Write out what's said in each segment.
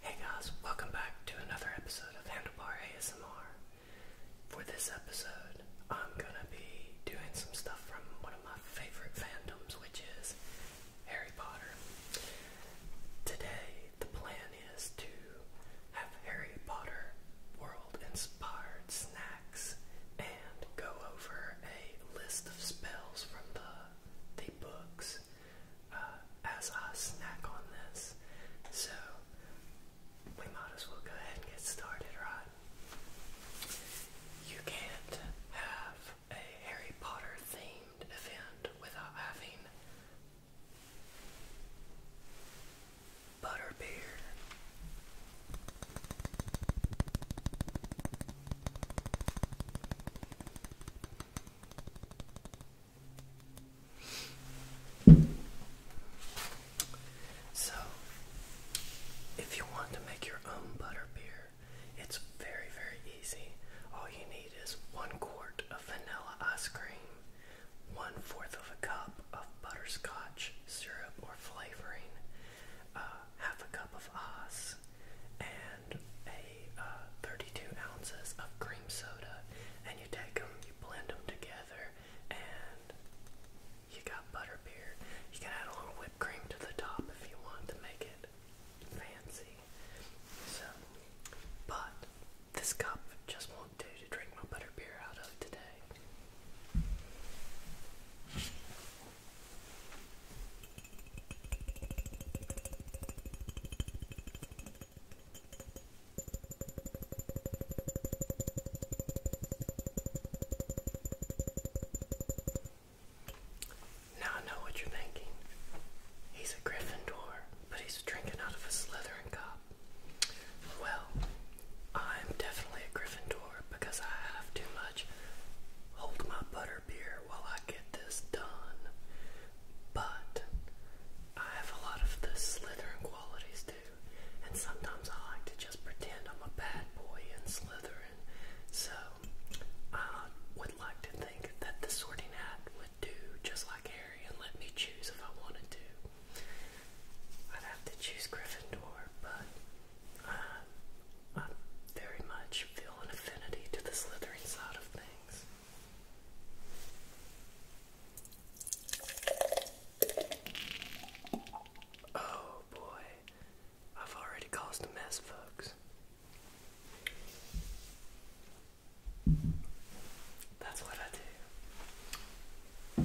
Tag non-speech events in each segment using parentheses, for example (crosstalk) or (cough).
Hey guys, welcome back to another episode of Handlebar ASMR. For this episode, I'm gonna be doing some stuff from one of my favorite fandoms, which is Harry Potter. Today, the plan is to have Harry Potter world inspired snacks and go over a list of spells from the, the books uh, as I snack on this. So we might as well go ahead and get started, right? You can't have a Harry Potter themed event without having butterbeer so, if you want to make your own butter beer, it's very, very easy. All you need is one quart of vanilla ice cream, one fourth of a cup of butterscotch syrup or flavoring, uh, half a cup of ice and a uh, 32 ounces of cream soda. And you take them, you blend them together, and you got butter beer. You can add a little whipped cream to the top if you want to make it fancy. So, but this cup just won't do to drink my butter beer out of today. Now I know what you're thinking. He's a Gryffindor, but he's drinking out of a Slytherin cup. Well, I'm definitely a Gryffindor because I have too much hold my butter beer while I get this done. But I have a lot of the Slytherin qualities too, and sometimes I like to just pretend I'm a bad boy in Slytherin. So I would like to think that the sorting hat would do just like Harry and let me choose if I wanted to. I'd have to choose Gryffindor, but I very much feel an affinity to the slithering side of things. Oh boy, I've already caused a mess, folks. That's what I do.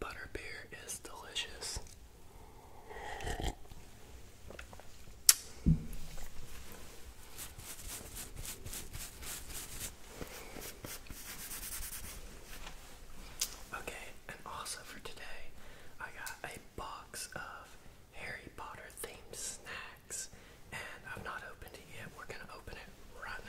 Butterbeer is delicious. Okay, and also for today, I got a box of Harry Potter themed snacks, and I've not opened it yet. We're gonna open it right now.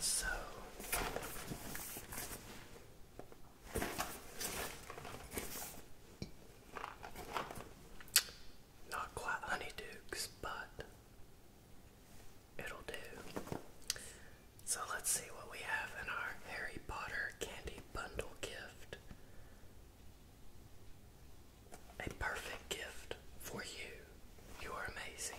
So not quite honeydukes, but it'll do. So let's see what we have in our Harry Potter candy bundle gift a perfect gift for you. You are amazing.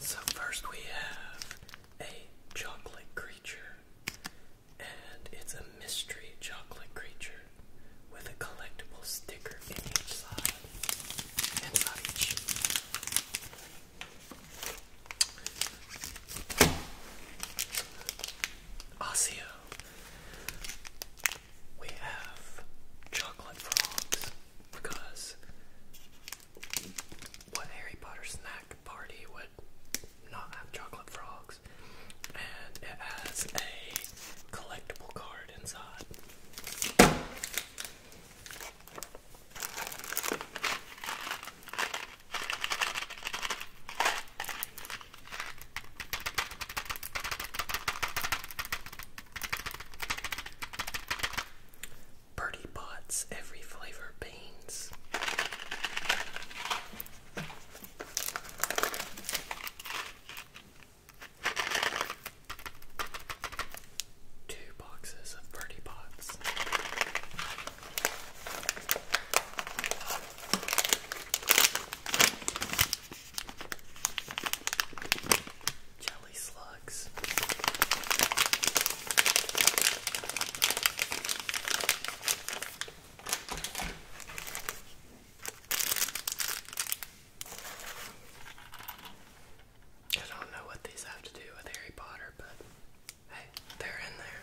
So, first we have a chocolate creature, and it's a mystery chocolate creature with a collectible sticker in each side. Inside each. Osseo. We have chocolate frogs because what Harry Potter snack party would not have chocolate frogs? And it has a collectible card inside. Birdie Potts Every Flavor Beans. Two boxes of Birdie Pots. I don't know what these have to do with Harry Potter, but hey, they're in there.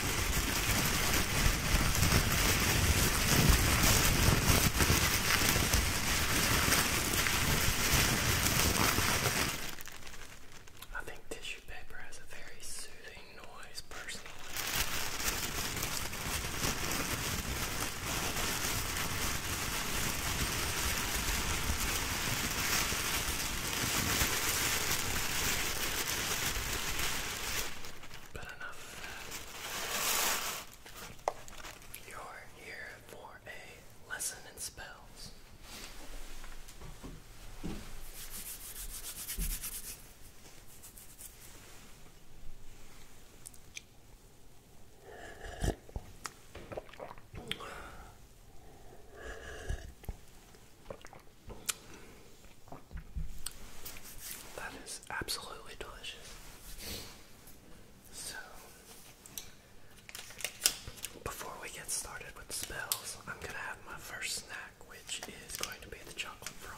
I think tissue paper has a very soothing noise, personally. But enough of that. You're here for a lesson in spells. That is absolutely delicious. So, before we get started with spells, I'm gonna have my first snack, which is going to be the chocolate frog.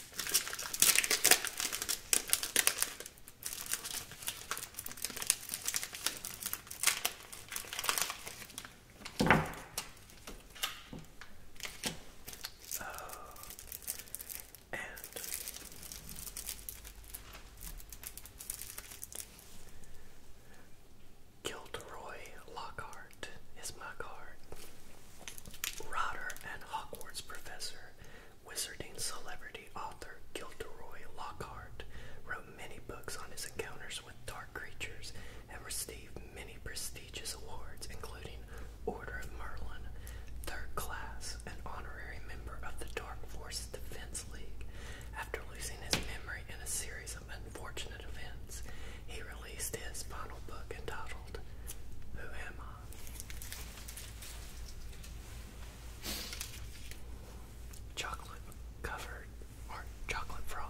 Uh, and Gilderoy Lockhart is my card. and Hogwarts professor, wizarding celebrity author Gilderoy Lockhart wrote many books on his encounters with dark creatures and received many prestigious awards, including Order of Merlin, Third Class, and honorary member of the Dark Force Defense League. After losing his memory in a series of unfortunate events, he released his final book entitled who am I? Chocolate covered or chocolate frog.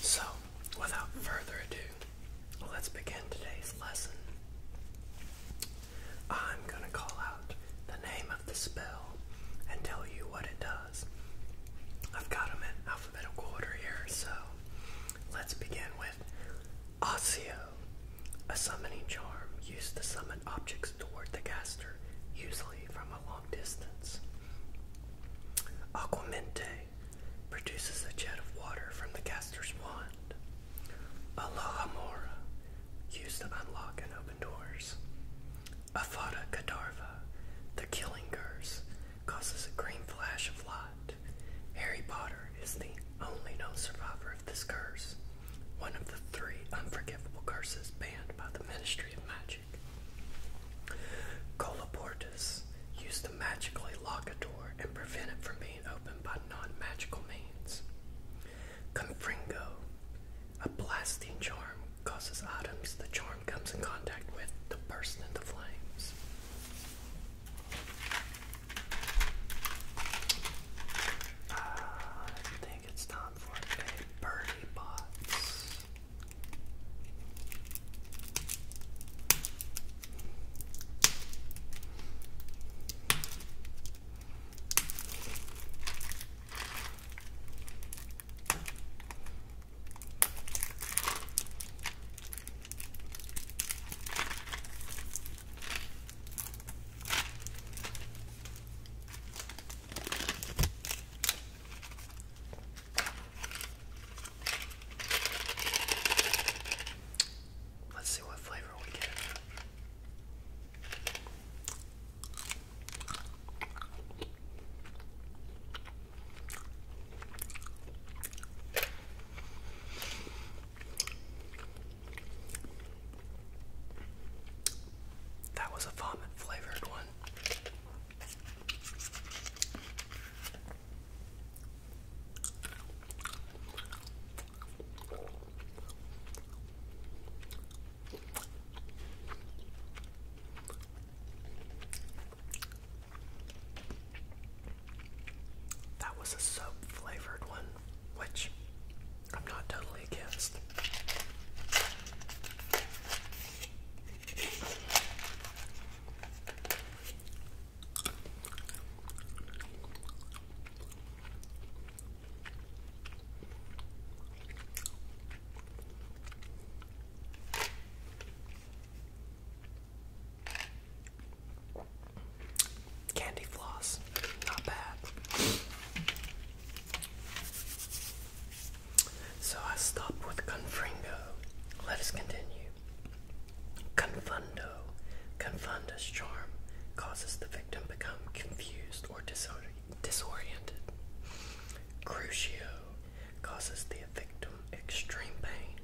So, without further ado, let's begin today's lesson. I'm going to call out the name of the spell and tell you what it does. I've got them in alphabetical order here, so let's begin with Osseo. A summoning charm used to summon objects toward the caster, usually from a long distance. Aquamente produces a jet of water from the caster's wand. Alohamora used to unlock and open doors. Afada Kadavra, the killing curse, causes a green flash of light. Harry Potter is the only known survivor of this curse, one of the three unforgivable curses banned by the Ministry of Magic. Colaportus used to magically lock a door and prevent it from being opened by non-magical means. Confringo, a blasting charm, causes items the charm comes in contact with to burst into flames. Uh, I think it's time for a birdie box. Let's see what flavor we get. That was a vomit flavored one. That was a soap flavored one, which I'm not totally against. Candy floss, not bad. So I stopped with Confringo. Let us continue. Confundo. Confundo's charm causes the victim become confused or disoriented. Crucio causes the victim extreme pain,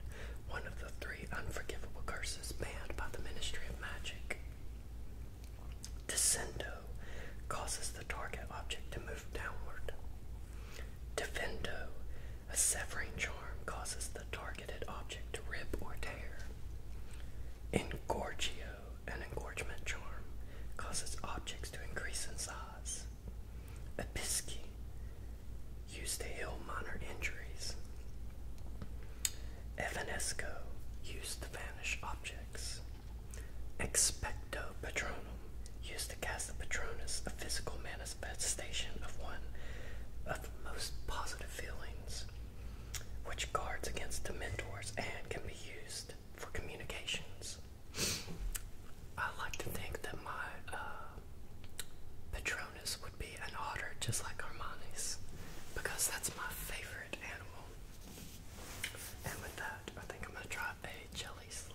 one of the three unforgivable curses banned by the Ministry of Magic. Descendo causes the target object to move downward. Defendo, a severing charm, causes the targeted object to rip or tear. Engorgio, an engorgement charm, causes objects to increase in size. Episki used to heal minor injuries. Evanesco used to vanish objects. Expecto Patronum used to cast the Patronus, a physical manifestation of one of the most positive feelings, which guards against the mentors and can be used for communications. I like to think that my uh, would be an otter, just like Armani's, because that's my favorite animal. And with that, I think I'm gonna try a jelly slug.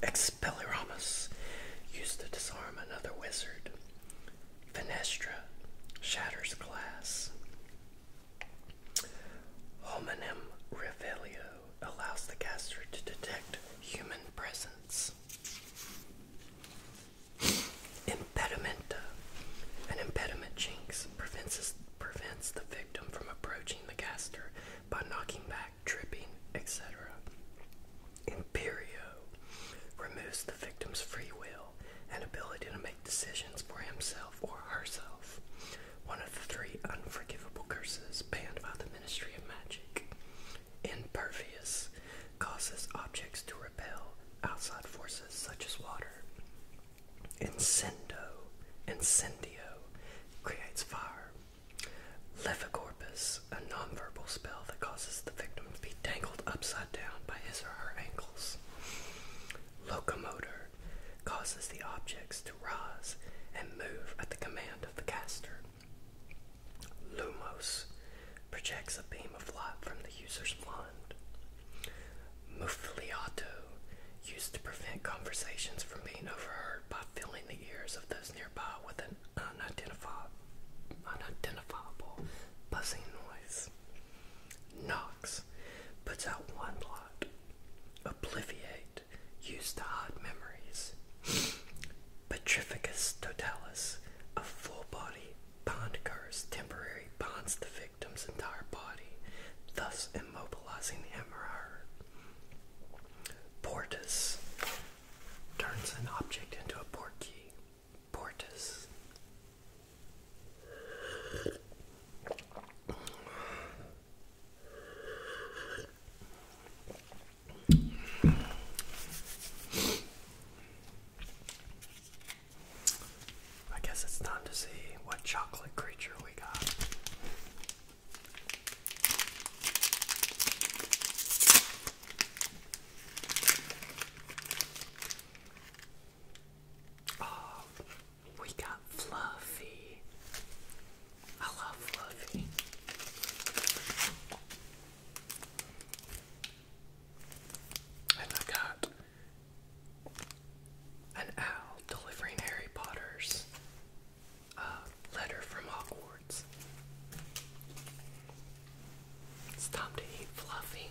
Expelliarmus used to disarm another wizard Fenestra shatters glass. Homonym Revelio allows the caster to detect human presence. Impedimenta. An impediment jinx prevents, prevents the victim from approaching the caster by knocking back, tripping, etc. Imperio removes the victim's free will will and ability to make decisions for himself or herself, one of the three unforgivable curses banned by the Ministry of Magic. Impervious causes objects to repel outside forces such as water. Incendo, incendio, creates fire. Levicorpus, a nonverbal spell that causes the victim to be tangled upside down by his or her ankles. Locomotor causes the objects to rise and move at the command of the caster. Lumos projects a beam of light from the user's mind. Muffliato used to prevent conversations from being overheard by filling the ears of those nearby with an unidentifiable buzzing noise. Knocks. puts out one blot. Obliviate used to hide memories. (gasps) Petrificus totalis, a full body bond curse, temporary bonds the victim's entire body, thus immobilizing him or her. Portus turns an object into a port key. Portis. I guess it's time to see what chocolate creature we got. Oh, we got Fluffy. I love Fluffy. And I got an owl delivering Harry Potter's uh, letter from Hogwarts. It's time to eat Fluffy.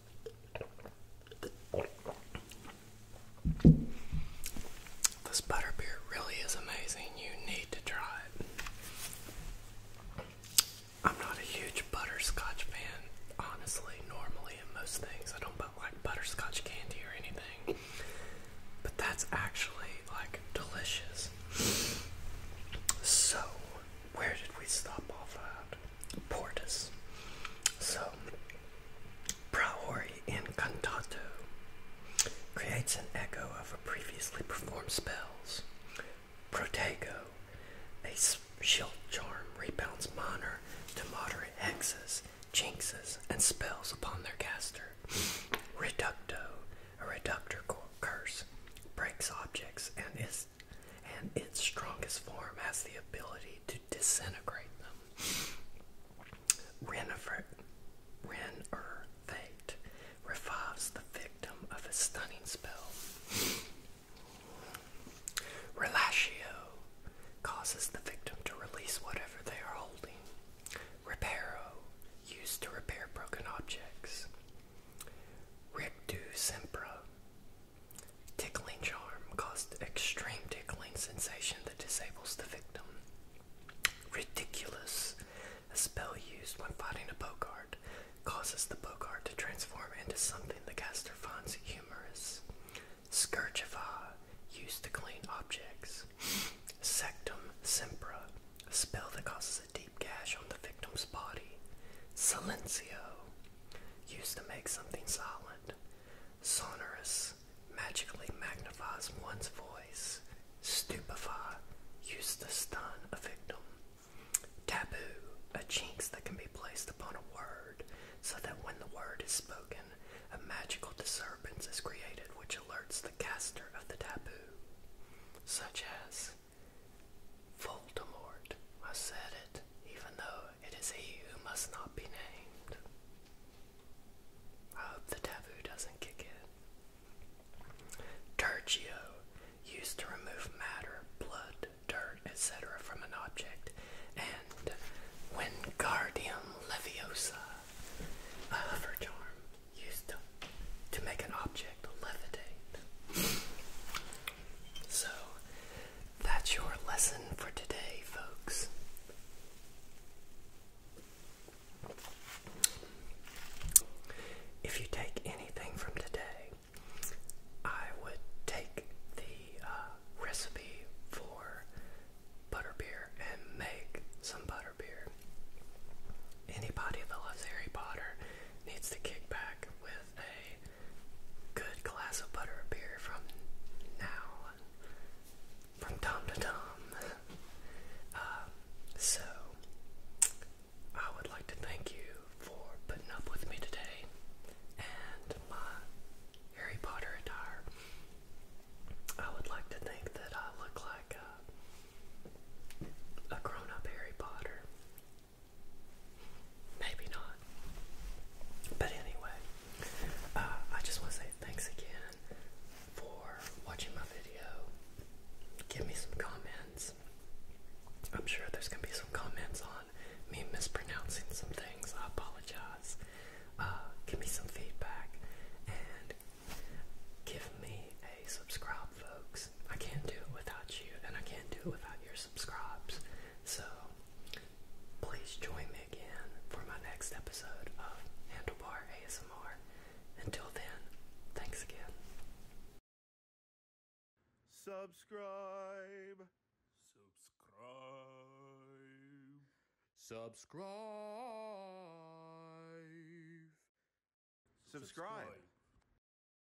This butterbeer really is amazing. You need to try it. I'm not a huge butterscotch fan, honestly, normally in most things. I don't like butterscotch candy or anything. But that's actually like delicious. So, where did we stop off at? Portus. So, Praori in Cantato creates an echo of a previously performed spells. Protego, a shield charm, rebounds minor to moderate hexes, jinxes, and spells upon their caster. Reducto, a reductor curse, breaks objects and is and its strongest form has the ability to disintegrate them. Renifert, Renner revives the victim of a stunning spell. Relatio causes the victim to release whatever they are holding. Reparo, used to repair broken objects. Rictu Tickling charm caused extreme tickling sensation that disables the victim. Ridiculous, a spell used when fighting a Bogart, causes the Bogart to transform into something the caster finds humorous. Scourgify, ah, used to clean objects. Sectum Sempra, a spell that causes a deep gash on the victim's body. Silencio, used to make something silent, sonorous, magically magnifies one's voice, stupefy, used to stun a victim. Taboo, a chinks that can be placed upon a word so that when the word is spoken, a magical disturbance is created which alerts the caster of the taboo, such as Voldemort. I said it, even though it is he who must not be named. I hope the taboo doesn't kick in. Turgio, used to remove matter, blood, dirt, etc. from an object, and Wingardium Leviosa, a hover charm, used to, to make an object levitate. So, that's your lesson for today, folks. If you take anything from today, I would take the uh, recipe for butterbeer and make some butterbeer. Anybody that loves Harry Potter needs to kick back with a good glass of butter beer from now, from Tom to Tom. Um, so, I would like to thank you for putting up with me today and my Harry Potter attire. I would like to think that I look like uh, a grown up Harry Potter. Maybe not. But anyway, uh, I just want to say thanks again for watching my video. Give me some comments. I'm sure there's going to be some comments on me mispronouncing some things. I apologize. Uh, give me some feedback and give me a subscribe folks. I can't do it without you, and I can't do it without your subscribes. So please join me again for my next episode of Handlebar ASMR. Until then, thanks again. Subscribe. Subscribe. Subscribe. Subscribe.